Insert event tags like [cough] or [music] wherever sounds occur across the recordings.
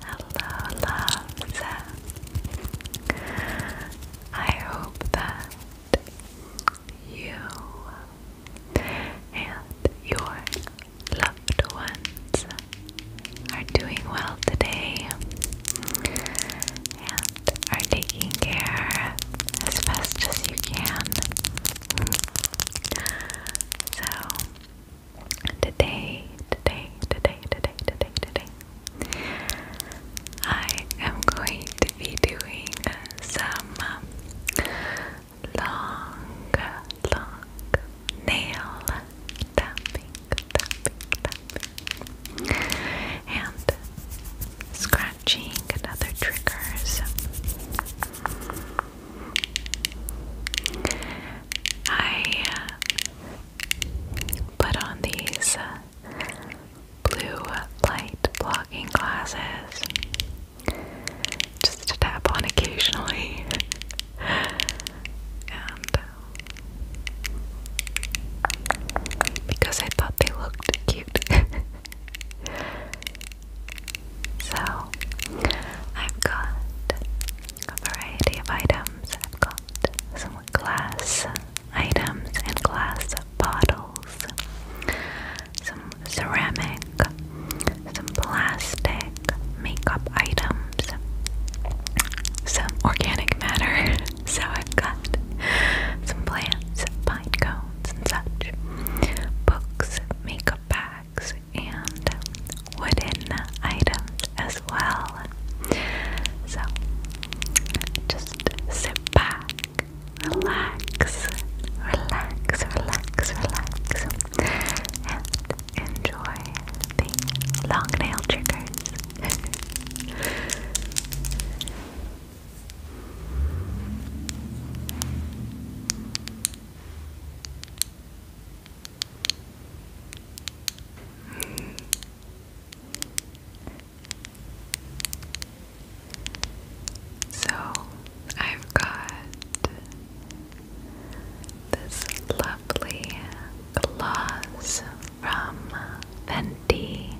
Hello, loves. I hope that you and your loved ones are doing well today and are taking care as best as you can. So, today, today, today, today, today, today, I am going to be doing some long, long nail tapping, tapping, tapping, and scratching and other triggers. I uh, put on these uh, blue light blocking glasses just to tap on occasionally. and because I thought they looked cute. [laughs] so I've got a variety of items. I've got some glass items and glass bottles some ceramic, some plastic, makeup items, some organic matter. [laughs] so I've got some plants, pine cones, and such, books, makeup bags, and wooden items as well. So just sit back relax, relax, relax, relax, and enjoy the long nail triggers. So I've got this lovely gloss from Fenty.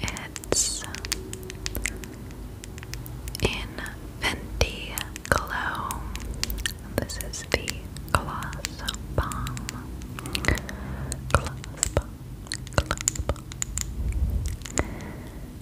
It's in Fenty Glow. This is the gloss bomb. Gloss bomb. Gloss bomb.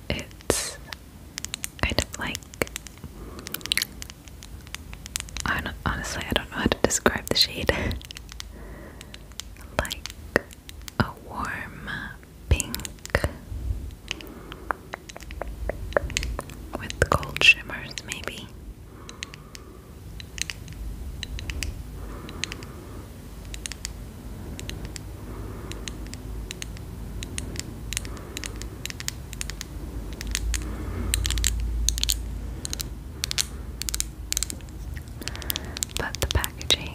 And it's kind of like I don't, honestly I don't know how to describe the shade. [laughs] like a warm pink with gold shimmers, maybe. But the packaging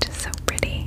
just so pretty.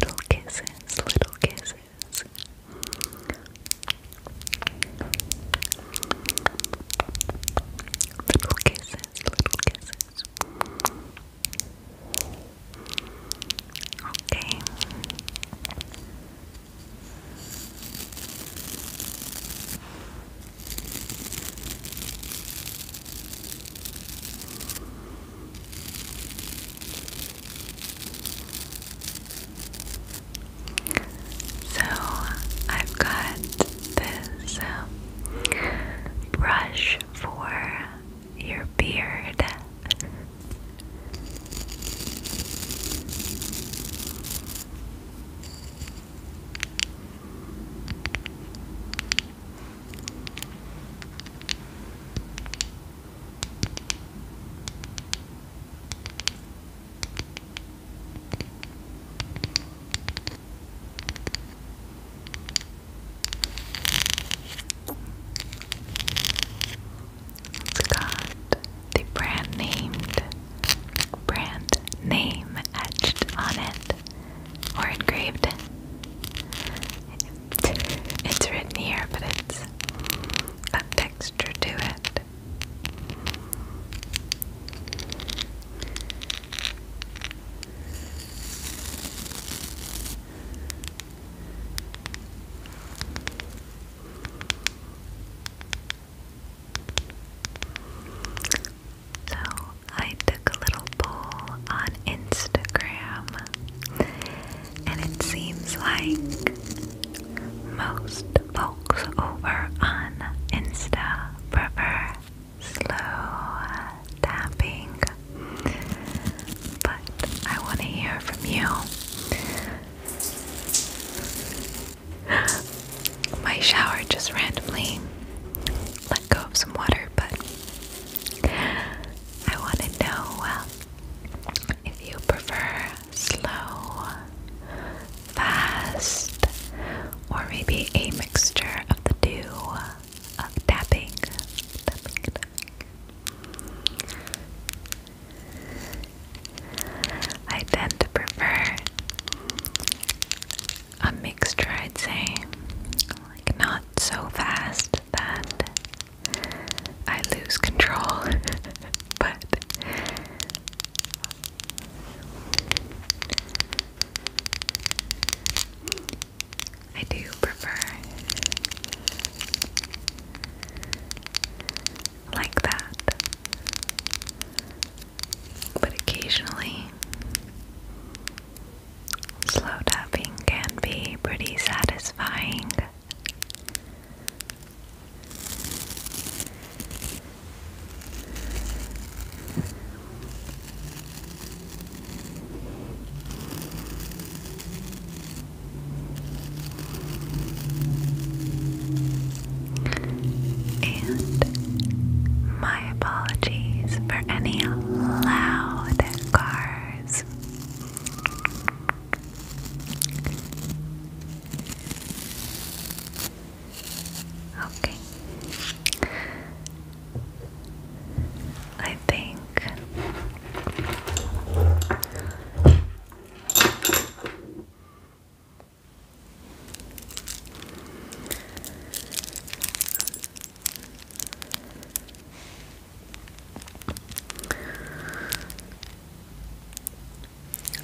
Little kisses, little kisses. Little kisses, little kisses. Okay. So I've got this um, brush for your beard. It's got the brand named brand name etched on it or engraved. It's written here, but it's a texture to it. So I took a little poll on Instagram, and it seems like most folks over on Insta prefer slow tapping. But I want to hear from you. [gasps] My shower just randomly go of some water, but I want to know um, if you prefer slow, fast, or maybe a mixture of the two of uh, tapping. I tend to prefer a mixture, I'd say. Like, not so fast that I lose control, [laughs] but I do prefer like that. But occasionally, Slow tapping can be pretty satisfying. And my apologies for any loud cars. Okay. I think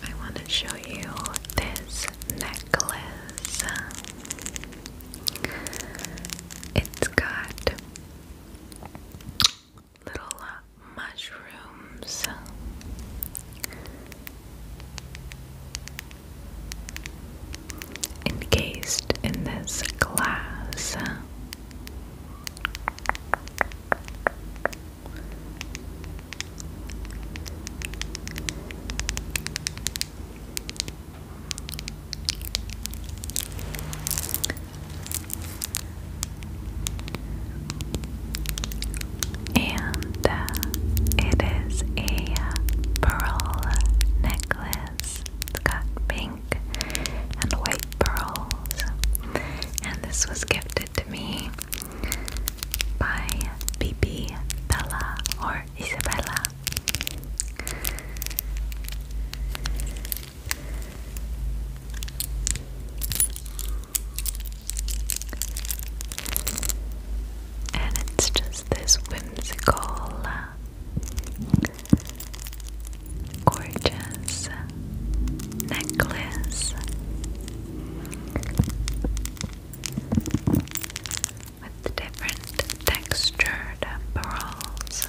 I want to show you this necklace. It's got little uh, mushrooms encased in this glass. And uh, it is a pearl necklace. It's got pink and white pearls. And this was gifted to me by BB Bella or Isabella. And it's just this whimsical uh, gorgeous necklace with different textured pearls.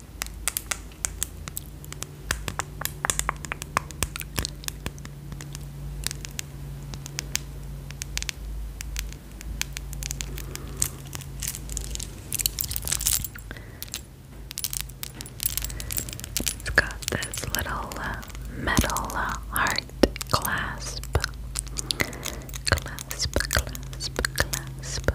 It's got this little uh, metal heart uh, clasp. Clasp, clasp, clasp.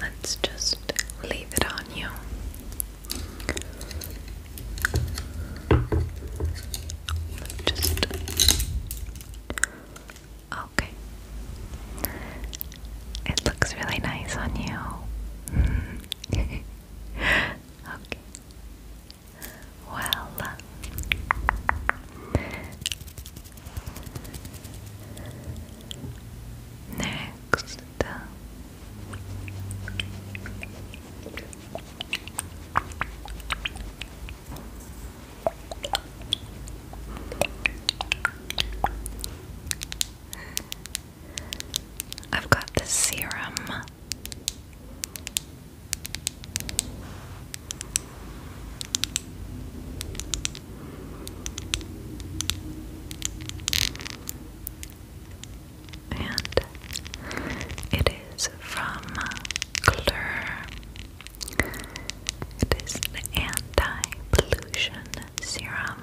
Let's just leave it on you. Just okay. It looks really nice on you. [laughs] okay. Well, Next, I've got the serum. And it is from Claire. It is an anti-pollution serum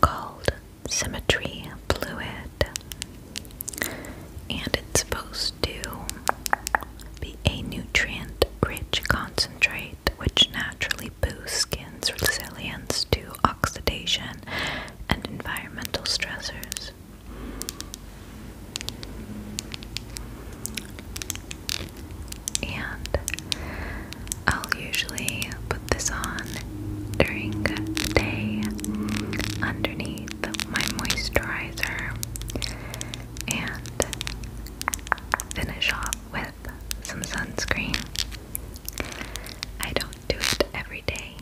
called Symmetry Fluid. And it's supposed to be a nutrient rich concentrate which naturally boosts skin's resilience to oxidation and environmental stressors. And I'll usually put this on during the day underneath my moisturizer and finish off with some sunscreen. I don't do it every day,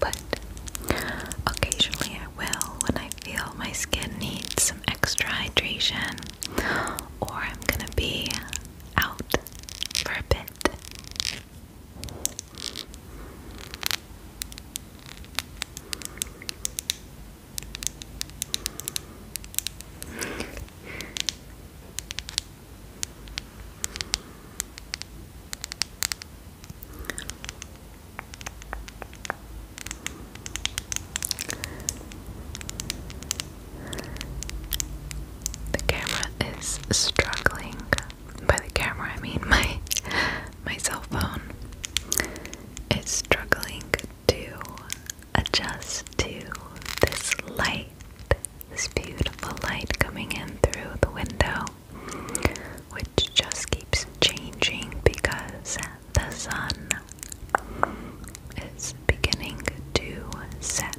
but occasionally I will when I feel my skin needs some extra hydration or I'm gonna be out for a bit. The camera is struggling. By the camera, I mean my my cell phone is struggling to adjust to this light, this beautiful light coming in through the window, which just keeps changing because the sun is beginning to set.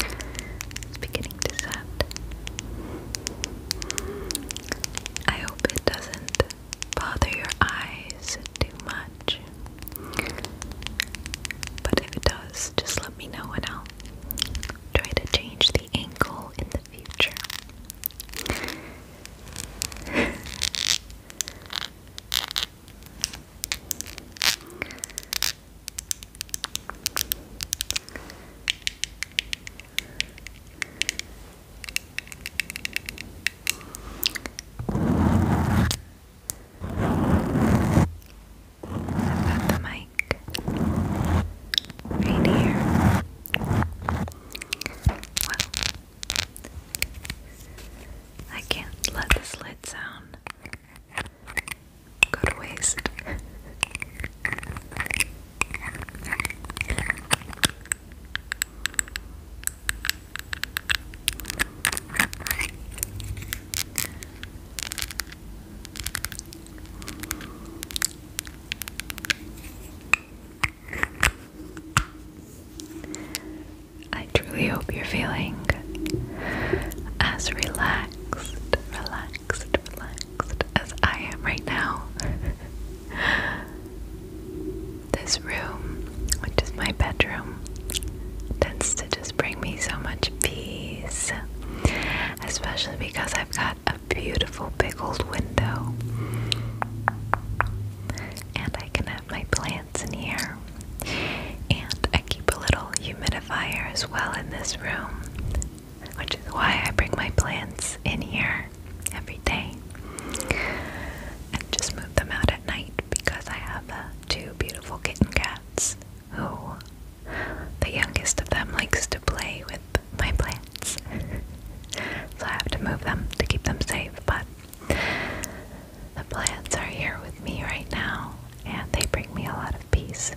It's beginning to set. I it doesn't bother your eyes too much. But if it does, just let me know and I'll try to change the angle in the future. I've got the mic right here. Well, I can't let this lid sound go to waste. I truly hope you're feeling as relaxed, relaxed, relaxed as I am right now. [laughs] This room, which is my bedroom, tends to just bring me so much peace, especially because I've got a beautiful big old window. And I can have my plants in here. And I keep a little humidifier as well in this room which is why I bring my plants in here every day and just move them out at night because I have uh, two beautiful kitten cats who the youngest of them likes to play with my plants. [laughs] so I have to move them to keep them safe, but the plants are here with me right now and they bring me a lot of peace.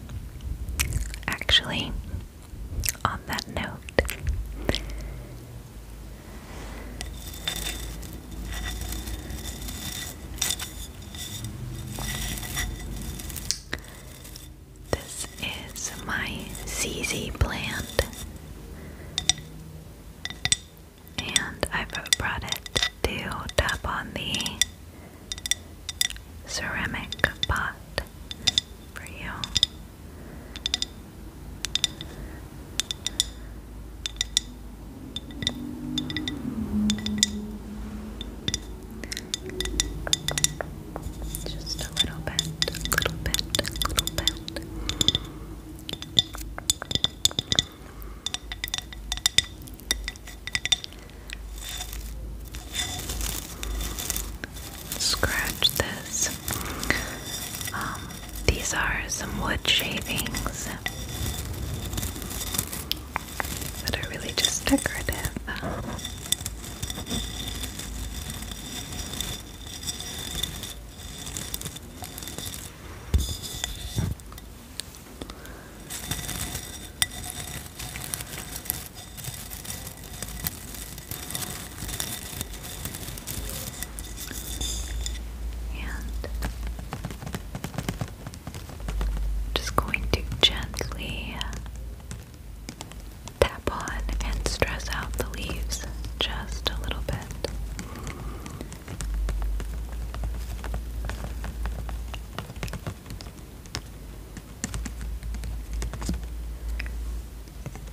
Actually, on that note, this is my ZZ plant, and I've brought it to tap on the ceramic pot for you. Just a little bit, a little bit, a little bit scratch this. Um, these are some wood shavings that are really just decorative just going to gently tap on and stress out the leaves just a little bit.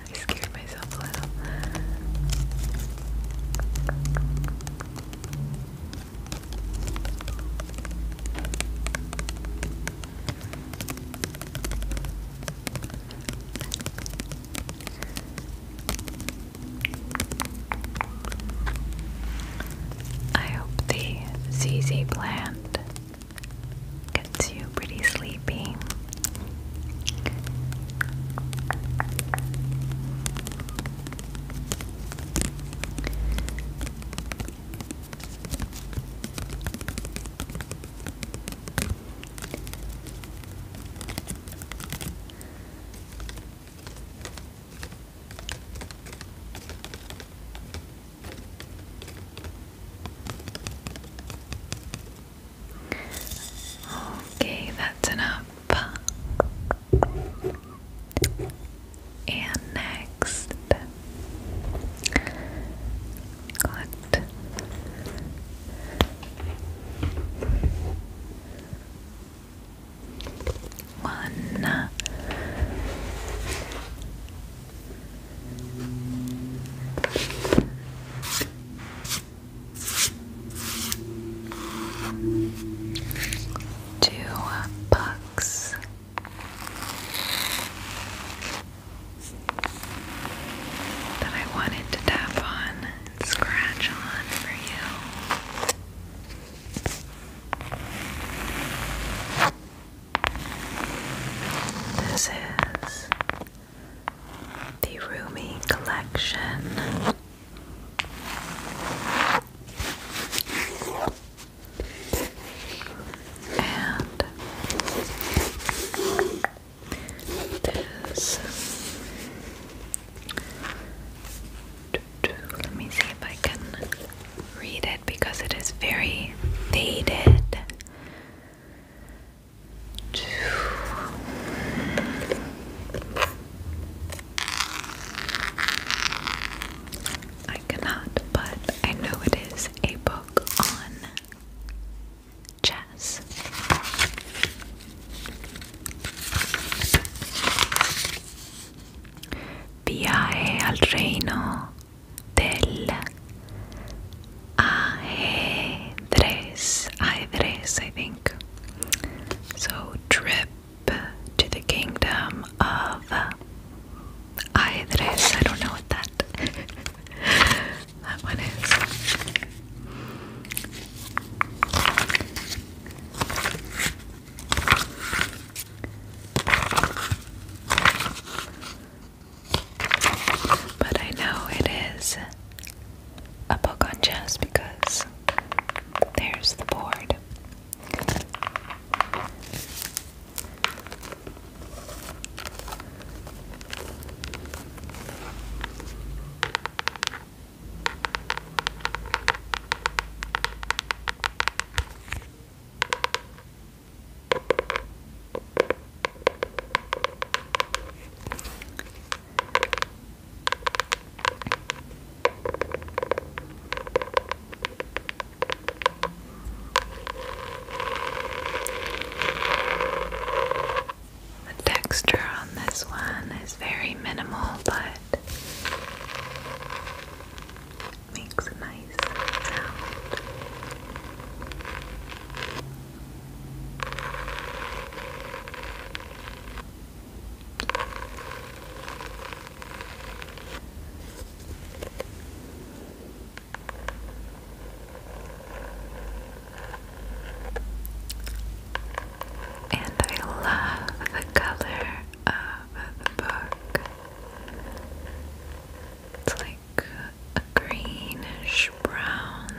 I scared myself a little. I hope the ZZ plant gets you pretty sleepy. Okay, that's enough. And next, collect. One. Two bucks. That I wanted to tap on scratch on for you. This is the roomy collection. And this. Let me see if I can read it because it is very faded. I cannot, but I know it is a book on chess. Viaje al reino del Ajedrez, ajedrez, I think. So, trip to the kingdom of ajedrez. I don't know what that [laughs] that one is. But I know it is a book on chess because there's the board. The texture on this one is very minimal, but makes a nice sound. And I love the color of the book. It's like a greenish brown.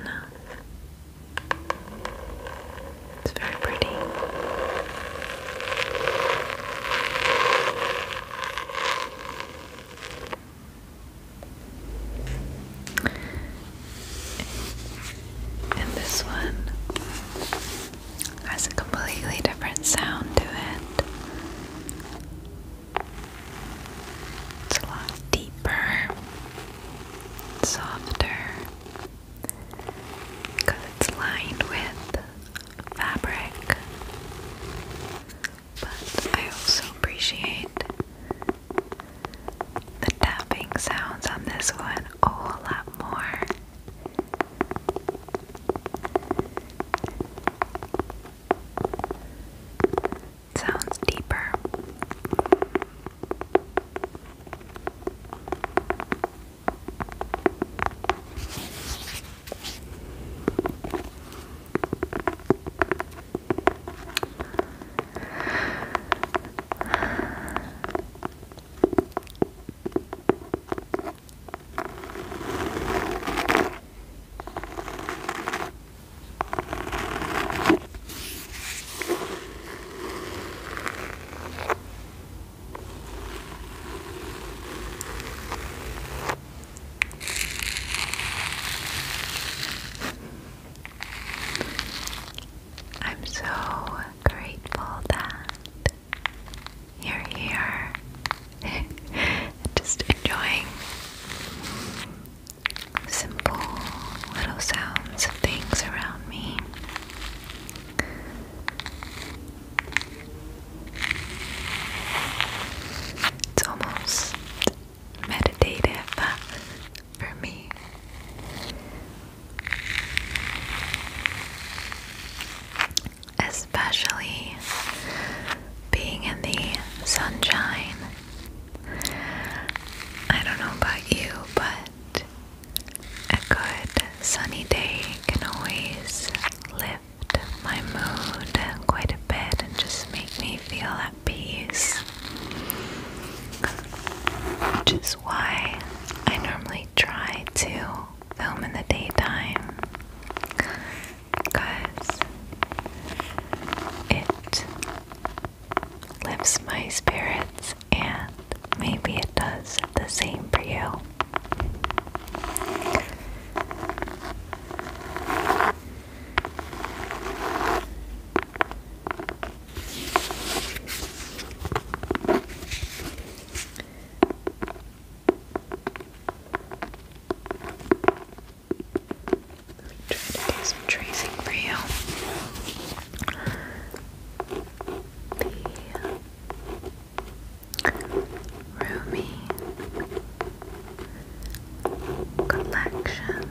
It's very pretty. And this one has a completely different sound to it. It's a lot deeper, softer, because it's lined with fabric. But I also appreciate the tapping sounds on this one a whole lot more sounds deeper. I'm so grateful that you're here. [laughs] Just enjoying simple little sounds of things around me. It's almost meditative for me. Especially being in the sunshine I don't know about you, but a good sunny day can always lift my mood quite a bit and just make me feel at peace. Which is why I normally try to film in the daytime because it lifts my spirits, and maybe it does the same for you. Try to do some tracing for you. The Rumi collection.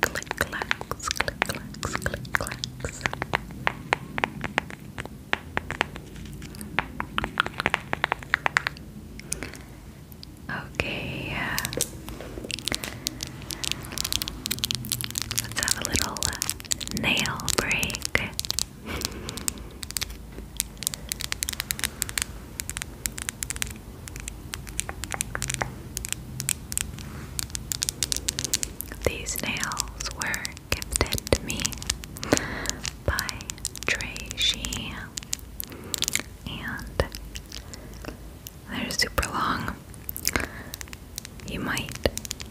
click clacks, click clacks, click clacks. Okay. Uh, let's have a little uh, nail break. These nails were gifted to me by Trey and they're super long. You might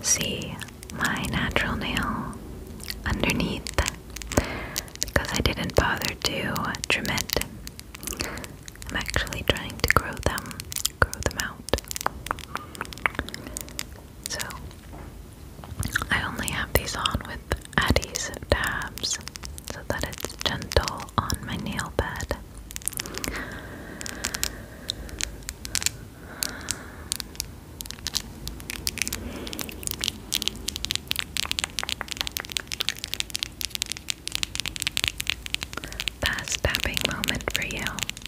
see my natural nail underneath because I didn't bother to trim it. I'm actually trying to grow them grow them out. So, I only have these on with Addie's tabs so that it's gentle on my nail bed. Fast tapping moment for you.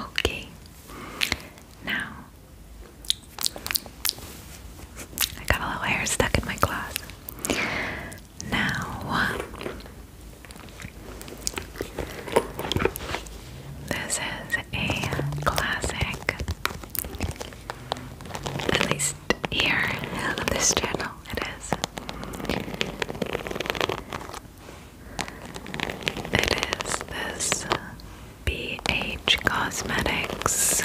Okay, now I got a little hair stuck in my claws. Now, this is a classic at least here on this channel, it is. It is this BH Cosmetics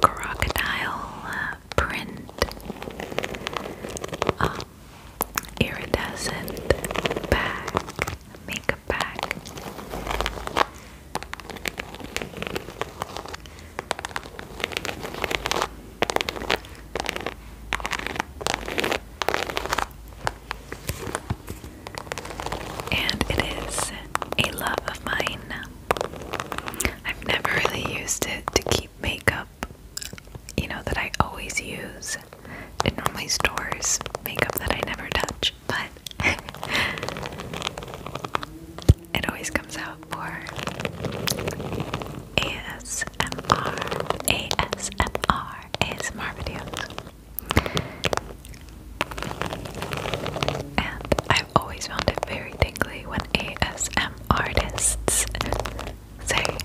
crocodile print um, iridescent bag. Makeup back, And it is a love of mine. I've never really used it to keep makeup, you know, that I always use. It normally stores makeup that I never touch but [laughs] it always comes out for ASMR, ASMR, ASMR videos. And I've always found it very tingly when ASM artists say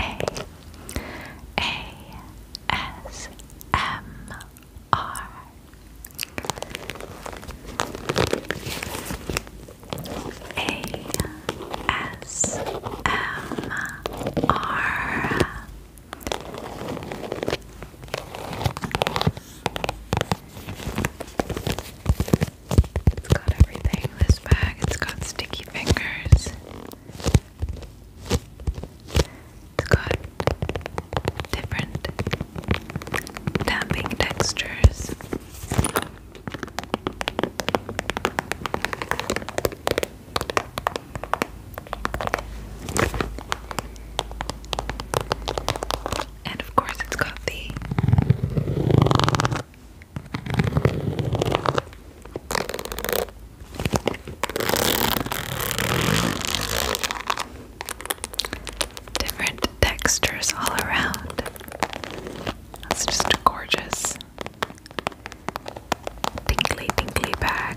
A A S M are. It's got everything, this bag. It's got sticky fingers. It's got different damping textures. And of course, it's got the Different textures all around. That's just a gorgeous tinkly tinkly bag.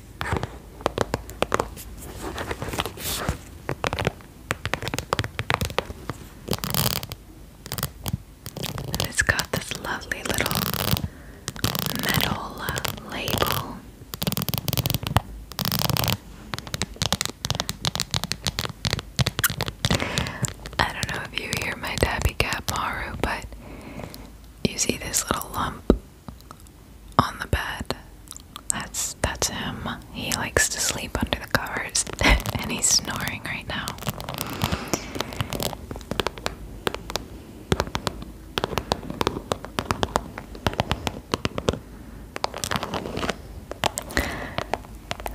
And it's got this lovely little metal label. I don't know if you hear my tabby cat Maru, but you see this little lump on the bed. That's that's him. He likes to sleep under the covers [laughs] and he's snoring right now.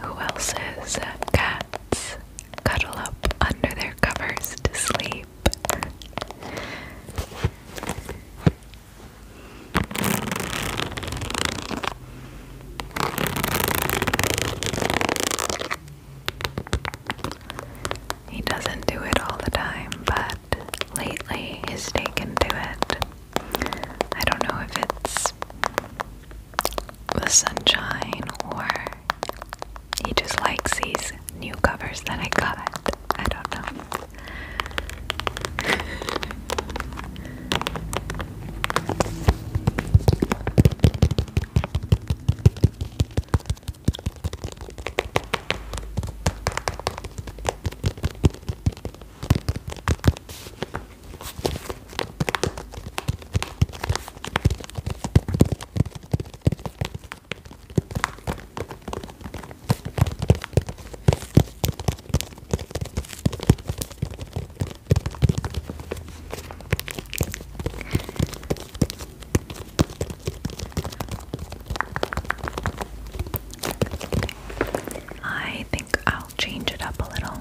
Who else's uh, cats cuddle up under their covers to sleep? He doesn't do it all the time, but lately he's taken to it. I don't know if it's the sunshine or he just likes these new covers that I got. I don't know. I think I'll change it up a little.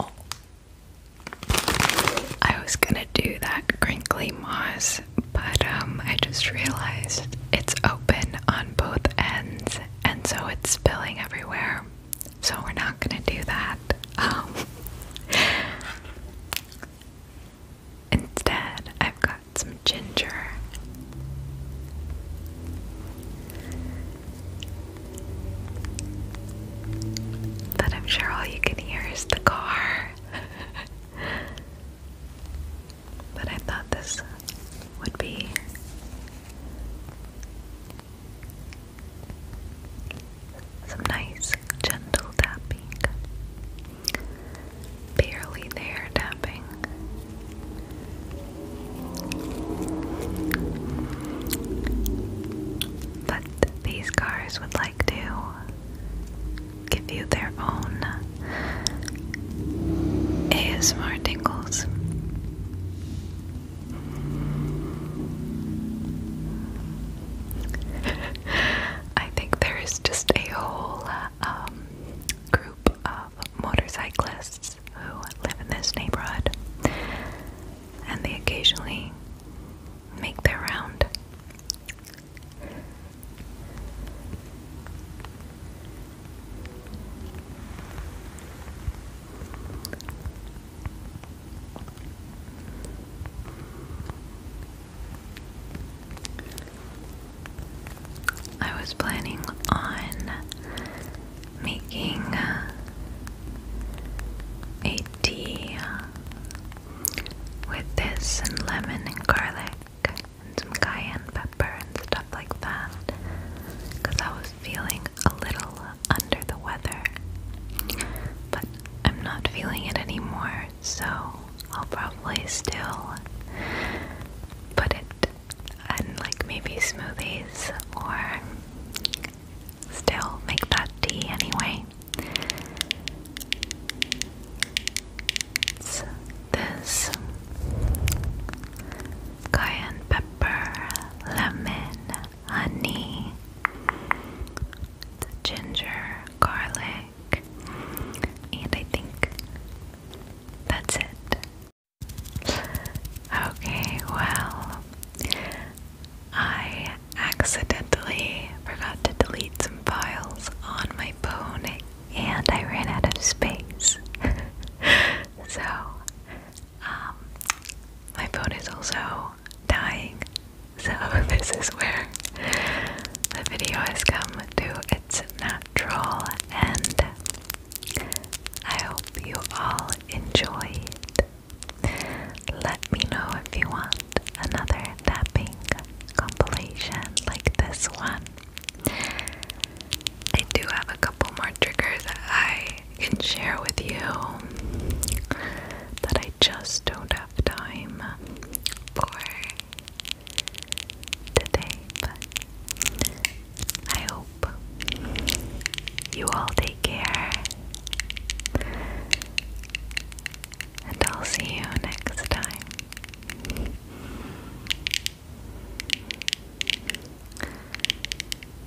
Oh. I was gonna do that crinkly moss, but um, I just realized it's open on both ends, and so it's spilling everywhere so we're not gonna do that. Um, instead, I've got some ginger. But I'm sure all you can hear is the car. [laughs] but I thought this would be some nice, gentle tapping. Barely there tapping. But these cars would like to give you their own ASMR tingles. I think there is just a whole um, group of motorcyclists who live in this neighborhood and they occasionally make their round. I was planning on making a tea with this and lemon and garlic and some cayenne pepper and stuff like that because I was feeling a little under the weather. But I'm not feeling it anymore, so I'll probably still put it on like maybe smoothies or still make that tea anyway. It's this cayenne pepper, lemon, honey, ginger, garlic, and I think that's it. Okay, well, I accidentally forgot to delete some files on my phone and I ran out of space. [laughs] so, um, my phone is also dying. So, [laughs] this is where the video has come to its natural end. I hope you all enjoyed. Let me know if you want another tapping compilation like this one. I do have a couple more triggers I can share with you that I just don't have time for today, I hope you all take care. And I'll see you next time.